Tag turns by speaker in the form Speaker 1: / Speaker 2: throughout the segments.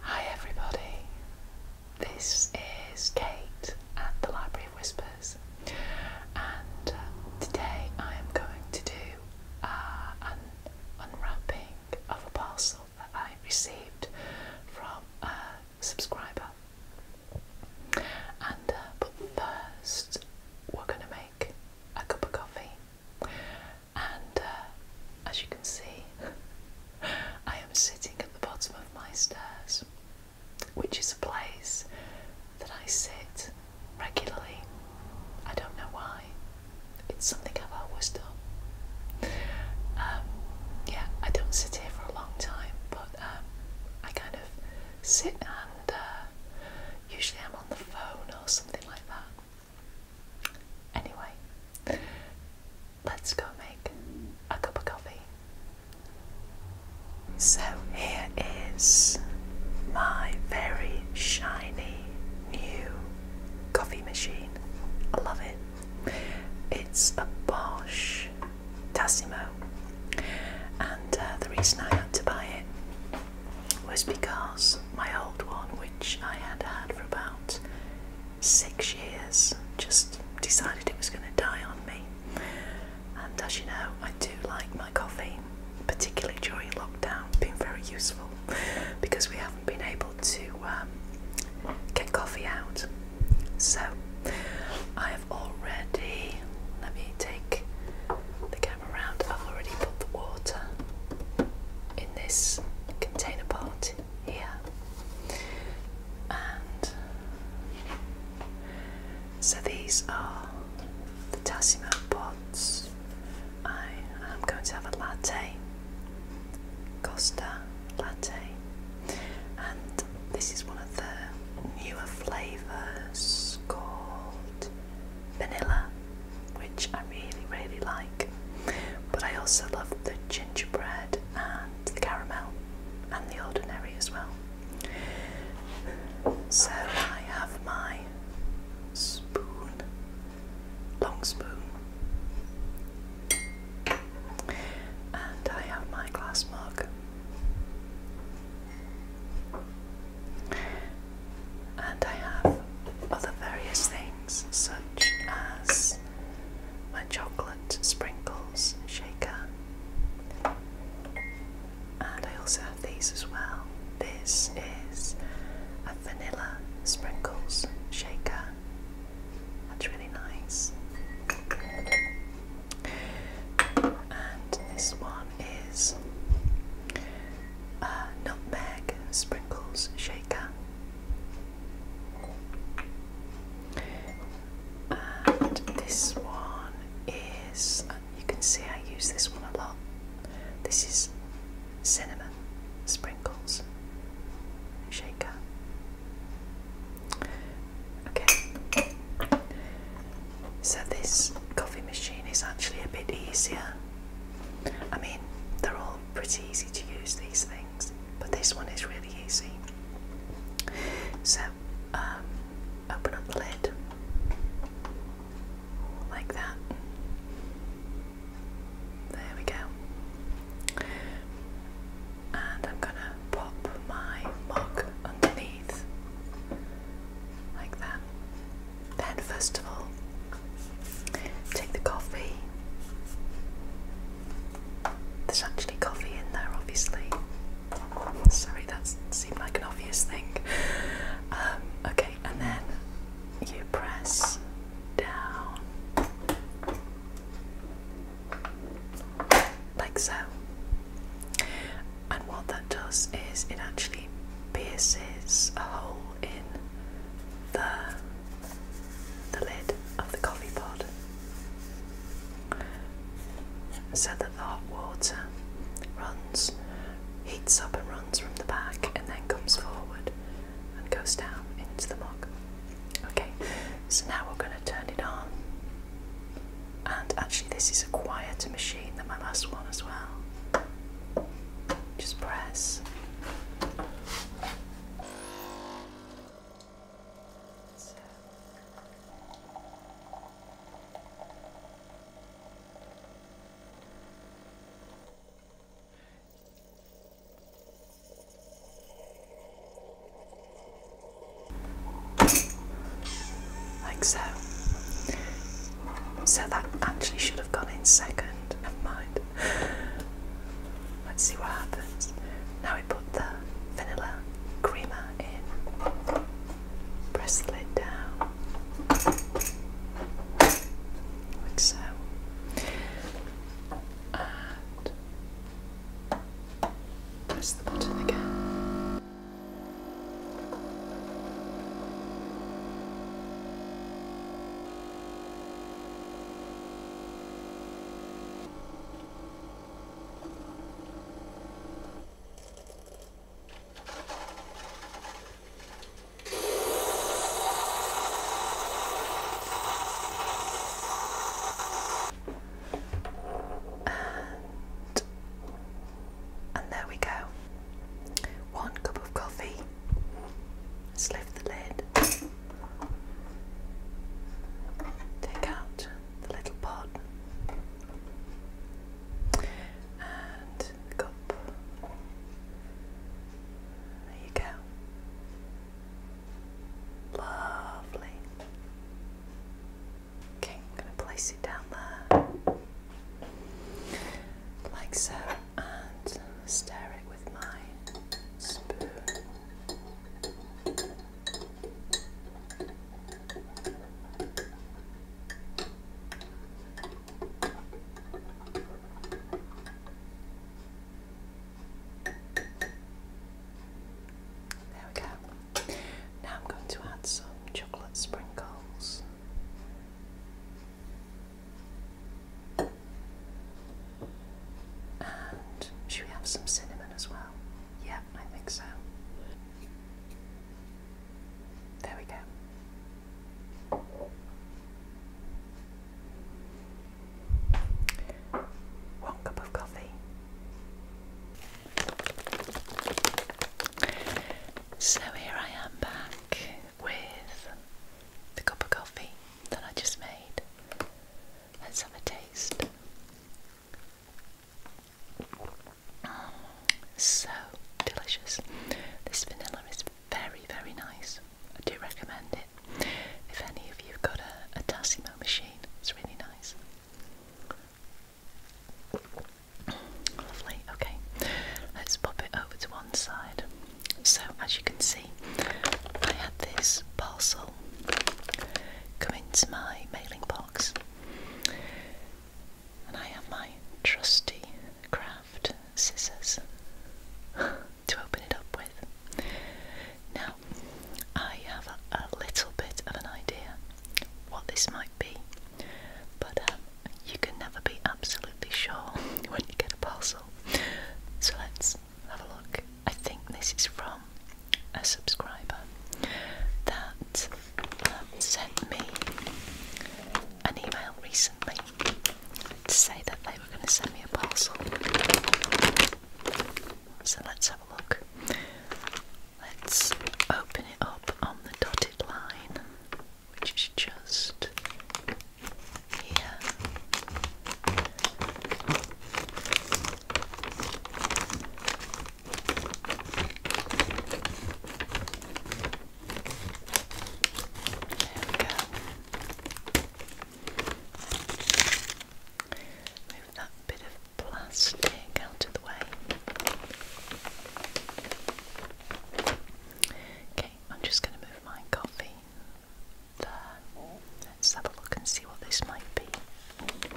Speaker 1: Hi everybody, this is Kate at the Library of Whispers, and uh, today I am going to do uh, an unwrapping of a parcel that I received from a subscriber. And uh, but first, we're going to make a cup of coffee, and uh, as you can see, I am sitting at the bottom of my stairs, which is a place that I sit regularly. I don't know why, it's something I've always done. Um, yeah, I don't sit here for a long time, but um, I kind of sit and uh, usually I'm on the phone or something like that. Anyway, let's go make a cup of coffee. So, here is my very shiny new coffee machine. I love it. It's a Bosch Tassimo, and uh, the reason I had to buy it was because my old one, which I had had for about six years, just decided it was going to die on me. And as you know, I do like my coffee, particularly during lockdown, been very useful because we haven't been able to um, get coffee out. So I have already, let me take the camera around, I've already put the water in this container pot right And so these are the Tassimo pods. I am going to have a latte, Costa latte, and this is one of the newer flavours called vanilla, which I really, really like. But I also love the gingerbread and the caramel and the ordinary as well. So I have my spoon, long spoon, and I have my glass mug. And I have other various things such as my chocolate sprinkles shaker. And I also have these as well. This is a vanilla sprinkles shaker. That's really nice. And this one is a nutmeg sprinkles shaker. And this one is, you can see I use this one a lot. This is cinnamon sprinkles shaker. Okay, so this coffee machine is actually a bit easier. I mean, they're all pretty easy to use, these things, but this one is really easy. So, um, open up the lid like that. There we go. And I'm gonna pop my mug underneath like that. Then, first of all, take the coffee there's actually coffee in there, obviously. Sorry, that seemed like an obvious thing. Um, okay, and then you press down like so. And what that does is it actually pierces a hole in the the lid of the coffee pot so that the hot water runs, heats up and runs from the back and then comes forward and goes down into the mug. Okay, so now we're going to turn it on. And actually, this is a quieter machine than my last one as well. Just press. So like so. So that actually should have gone in second, never mind. Let's see what happens. Now we put the vanilla creamer in. Press the lid down. Like so. And press the button again. And, and there we go. One cup of coffee Let's lift the lid. Take out the little pot and the cup. There you go. Lovely. Okay, I'm going to place it down there like so and stir it with my spoon. There we go. Now I'm going to add some chocolate sprinkles should we have some cinnamon as well? Yeah, I think so. There we go. One cup of coffee. So here I am back with the cup of coffee that I just made. Let's have a taste. Mm, so delicious. This vanilla is very, very nice. I do recommend it. If any of you've got a, a Tassimo machine, it's really nice. Lovely, okay. Let's pop it over to one side. So, as you can see, I had this parcel Come into my mailing box. And I have my trusty craft scissors to open it up with. Now, I have a, little bit of an idea what this might be, but um, you can never be absolutely sure when you get a parcel. So let's have a look. I think this is from a subscriber that um, sent me an email recently to say that they were going to send me a parcel. So let's have a look. Let's open it up on the dotted line, which is just here we go. Move that bit of plastic out of the way. Okay, I'm just going to move my coffee Let's have a look and see what this might be. Okay.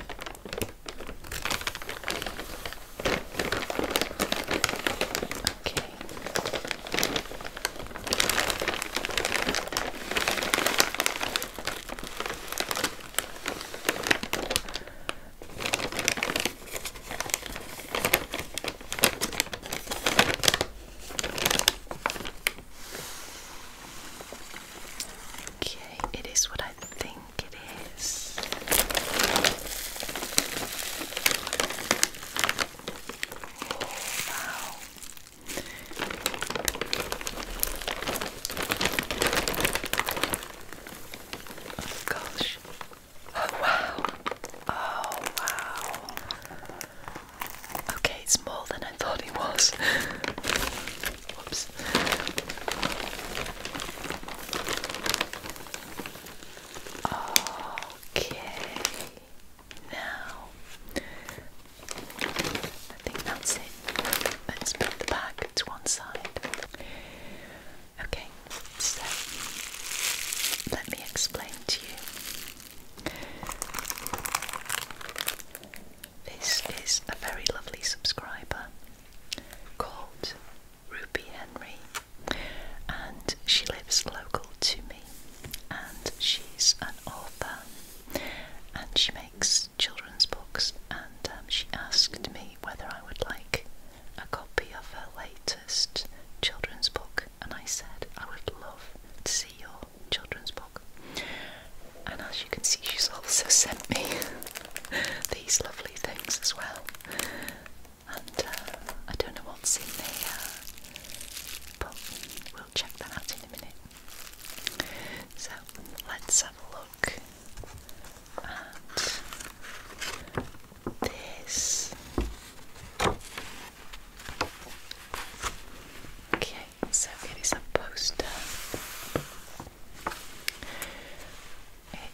Speaker 1: Okay, it is what I think it is. Oh, wow. Oh gosh. Oh wow. Oh wow. Okay, it's more than I thought it was. Whoops. Okay, now I think that's it. Let's put the bag to one side. Okay, so let me explain to you. This is a very lovely subscriber called Ruby Henry, and she lives local to me, and she's an author, and she makes children's books, and um, she asked me whether I would like a copy of her latest children's book, and I said I would love to see your children's book. And as you can see, she's also sent me these lovely things as well. And uh, I don't know what's in there, but we'll check that out in a minute. So let's have a look at this. Okay, so it is a poster.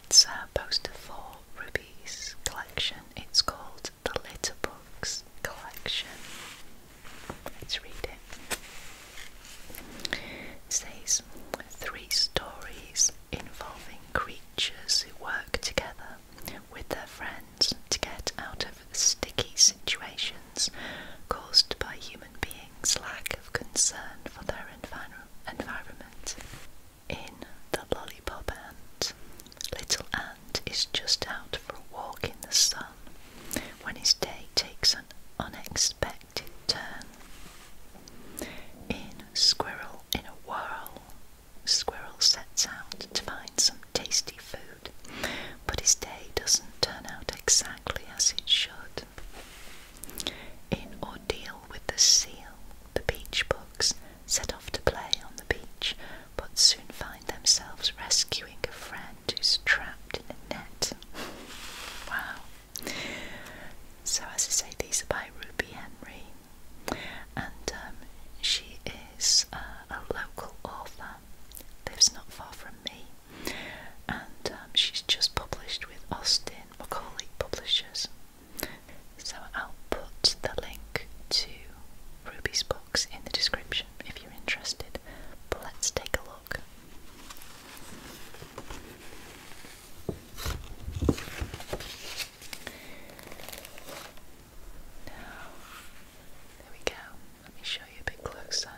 Speaker 1: It's a poster for Ruby's collection. It's called the Litter Books Collection. Let's read it. It says three stories involving creatures who work together with their friends to get out of sticky situations caused by human beings' lack of concern for their environment. In The Lollipop Ant, Little Ant is just out for a walk in the sun when his day takes an unexpected turn. In Squirrel in a Whirl, Squirrel sets out to find some tasty food but his day doesn't turn out exactly as it should. In Ordeal with the Seal, the beach books set off to play on the beach, but soon find themselves rescuing a friend who's trapped in a net. wow. So, as I say, these are by Ruby Henry, and um, she is uh, a local author, lives not far from me and um, she's just published with Austin Macaulay Publishers. So I'll put the link to Ruby's books in the description if you're interested. But let's take a look. there we go. Let me show you a bit closer.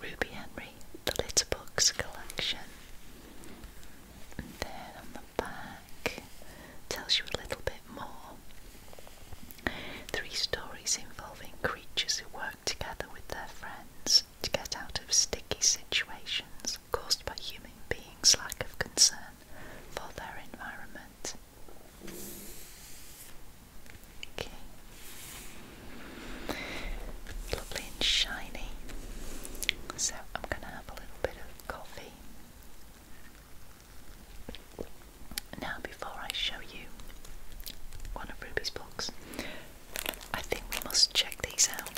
Speaker 1: Ruby Henry, the Little Books collection. then on the back, tells you a little bit more. Three stories involving creatures who work together with their friends to get out of sticky situations caused by human beings' lack of concern for their environment. Okay. Lovely and shiny. So I'm going to have a little bit of coffee. Now, before I show you one of Ruby's books, I think we must check these out.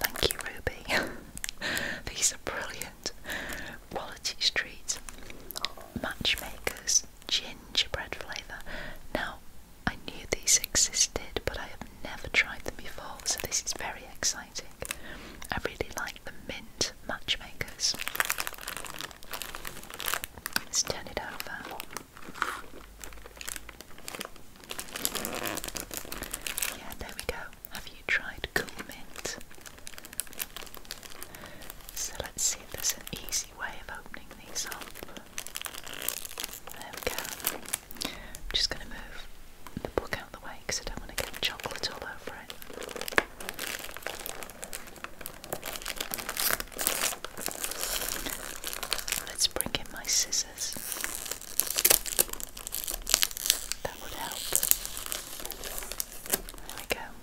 Speaker 1: Thank you, Ruby. these are brilliant quality streets, matchmakers, gingerbread flavour. Now, I knew these existed, but I have never tried them before, so this is very exciting. I really like the mint matchmakers. Let's turn it over. Yeah, there we go. Have you tried cool mint? So let's see if there's an easy way of opening these up. There we go. just going to move the book out of the way because I don't want to get chocolate all over it. Let's bring in my scissors. That would help. There we go.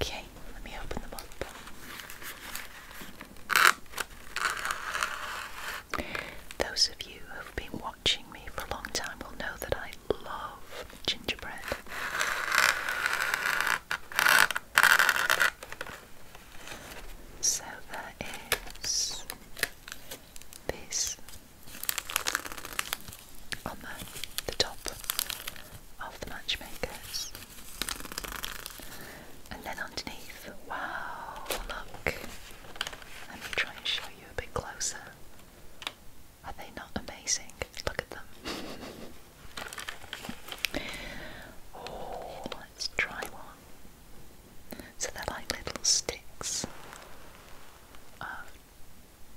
Speaker 1: Okay, let me open them up. Those of you who've been watching me for a long time will know that I love gingerbread. So there is this on the, the top of the matchmakers. And then underneath, wow, look. Let me try and show you a bit closer. Are they not amazing? Look at them. Oh, let's try one. So they're like little sticks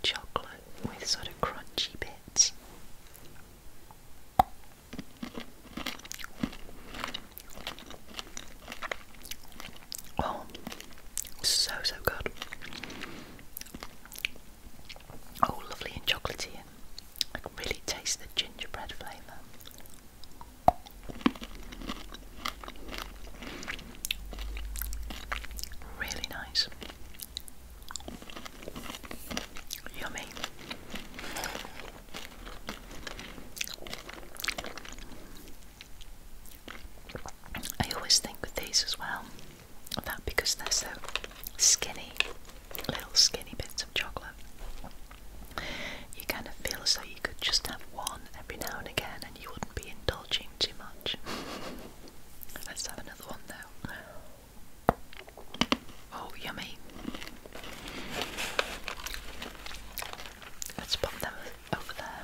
Speaker 1: chocolate with sort of crunchy bits. Oh, so so good. Oh, lovely and chocolatey, and I can really taste the gingerbread flavour. Really nice. Yummy. I always think with these as well that because they're so skinny, little skinny bits of chocolate, you kind of feel as though you could just have one every now and again and you wouldn't be indulging too much. Let's have another one though. Oh, yummy. Let's pop them over there.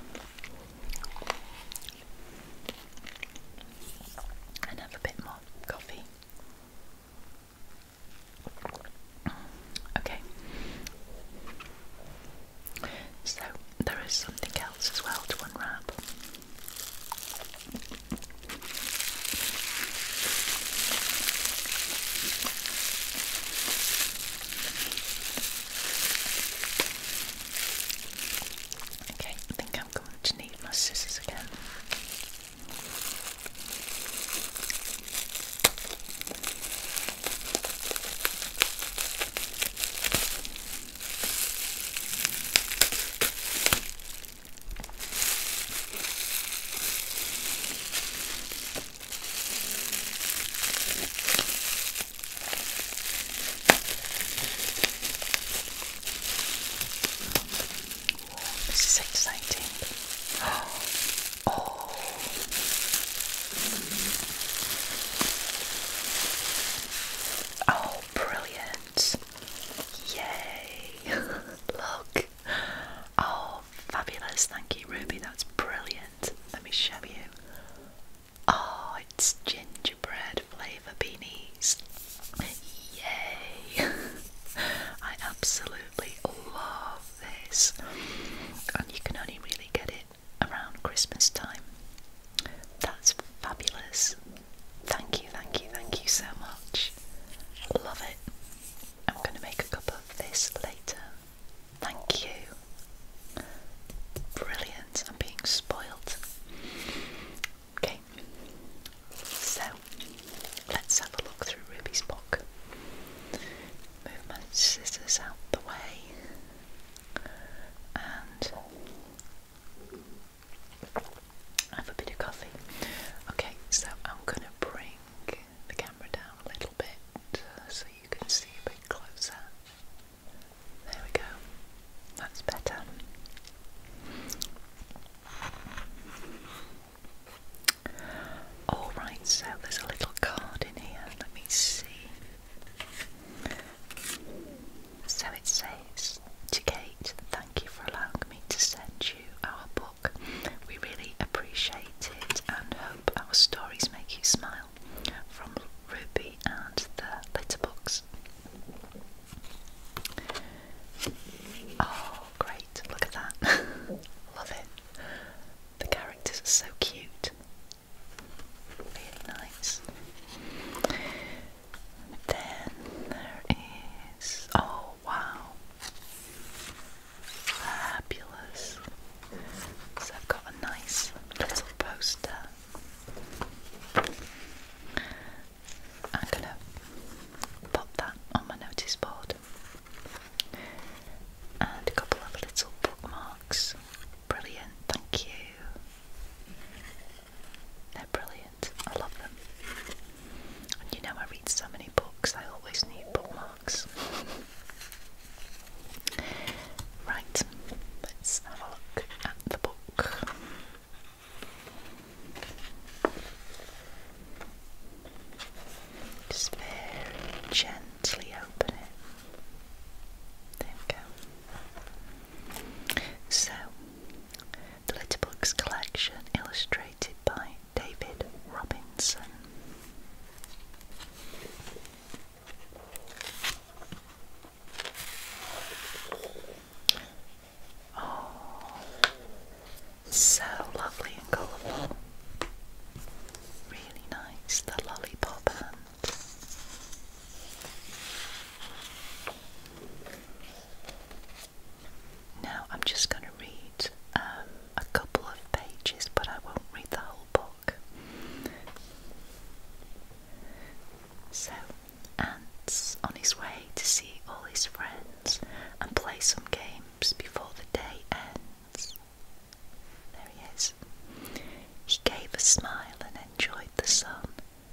Speaker 1: And have a bit more coffee. Okay. So there is something else as well to unwrap. Okay, I think I'm going to need my scissors again. Oh, this is exciting. Oh. Mm -hmm. Oh, brilliant! Yay! Look! Oh, fabulous! Thank you, Ruby. That's brilliant. Let me show you. Oh, it's gingerbread flavour beanies. Yay! I absolutely love this, and you can only really get it around Christmas time. That's fabulous. Thank you, thank you, thank you so much. Love it. I'm going to make a cup of this later. Thank you. Brilliant. I'm being spoiled. Okay, so let's have a look through Ruby's book. Move my scissors out the way and have a bit of coffee. Okay, so I'm going to bring the camera down a little bit so you can see a bit closer. There we go. That's better. Alright, so there's a little card in here. Let me see. So it says to Kate, thank you for allowing me to send you our book. We really appreciate it and hope our stories make you smile. From Ruby and the Litterbox. Oh, great, look at that. Love it. The characters are so cute. Very nice. Then there is. Oh wow! Fabulous. So I've got a nice little poster. I'm gonna pop that on my notice board. And a couple of little bookmarks. Brilliant, thank you. They're brilliant. I love them. And you know I read so many books, I always need bookmarks. right, let's have a look at the book. Just very gently open it. There we go. So, the Little Books collection illustrated by David Robinson. Oh, so lovely and colourful. Really nice, the lollipop now I'm just going to read um, a couple of pages, but I won't read the whole book. So, Ant's on his way to see all his friends and play some games before the day ends. There he is. He gave a smile and enjoyed the sun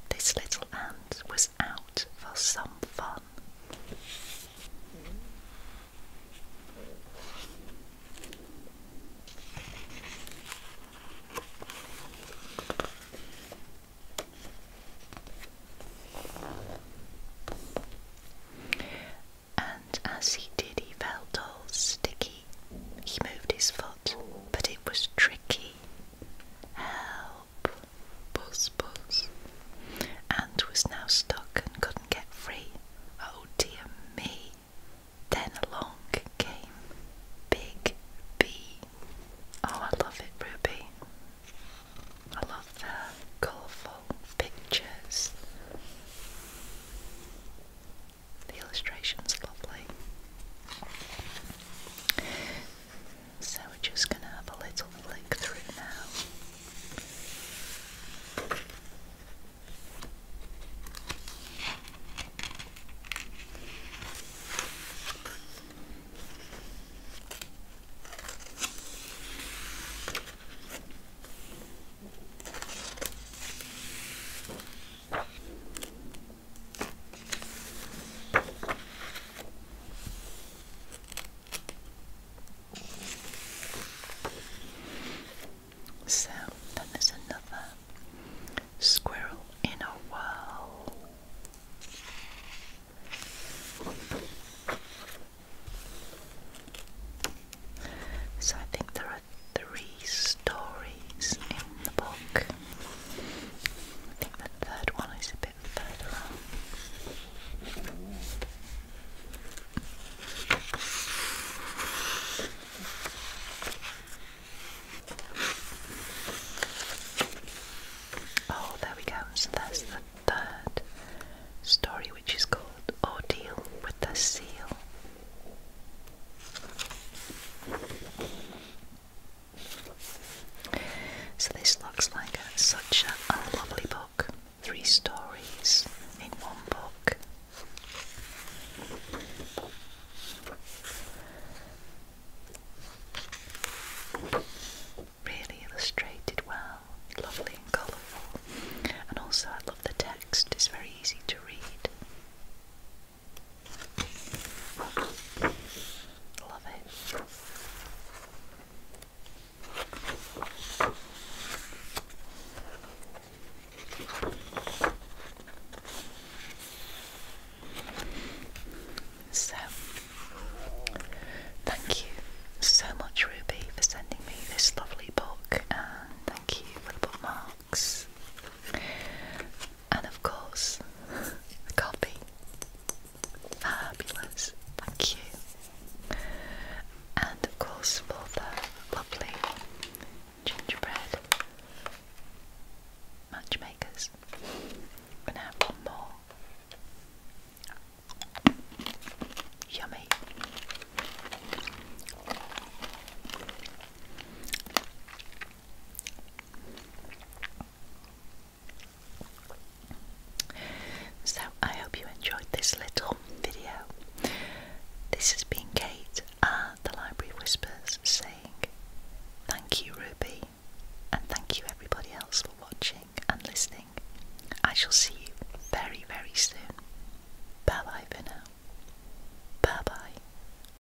Speaker 1: this little ant was out for some fun. And as he did, he felt all sticky. He moved his foot, but it was tricky Help! Buzz, buzz. Ant was now stuck and couldn't get free. Oh dear me! Then along came Big Bee. Oh, I love it, Ruby. I love the colourful pictures. The illustration's lovely. So we're just going to have a little flick through now. So then there's another squirrel in a whirl. So I think there are three stories in the book. I think the third one is a bit further on. Oh, there we go. So that's the third story, which is called Ordeal with the Seal. So this looks like such a, a lovely book. Three stories in one book. Really illustrated well, lovely and colourful, and also I love the text, it's very easy to read. So, thank you so much, Ruby, for sending me this lovely book, and thank you for the bookmark and of course, the coffee. Fabulous, thank you. And of course, for the lovely gingerbread matchmakers. We're gonna have more. Yummy. So, I hope you enjoyed this little video. This has been Kate at the Library Whispers saying thank you, Ruby, and thank you, everybody else, for watching and listening. I shall see you very, very soon. Bye bye for Bye bye.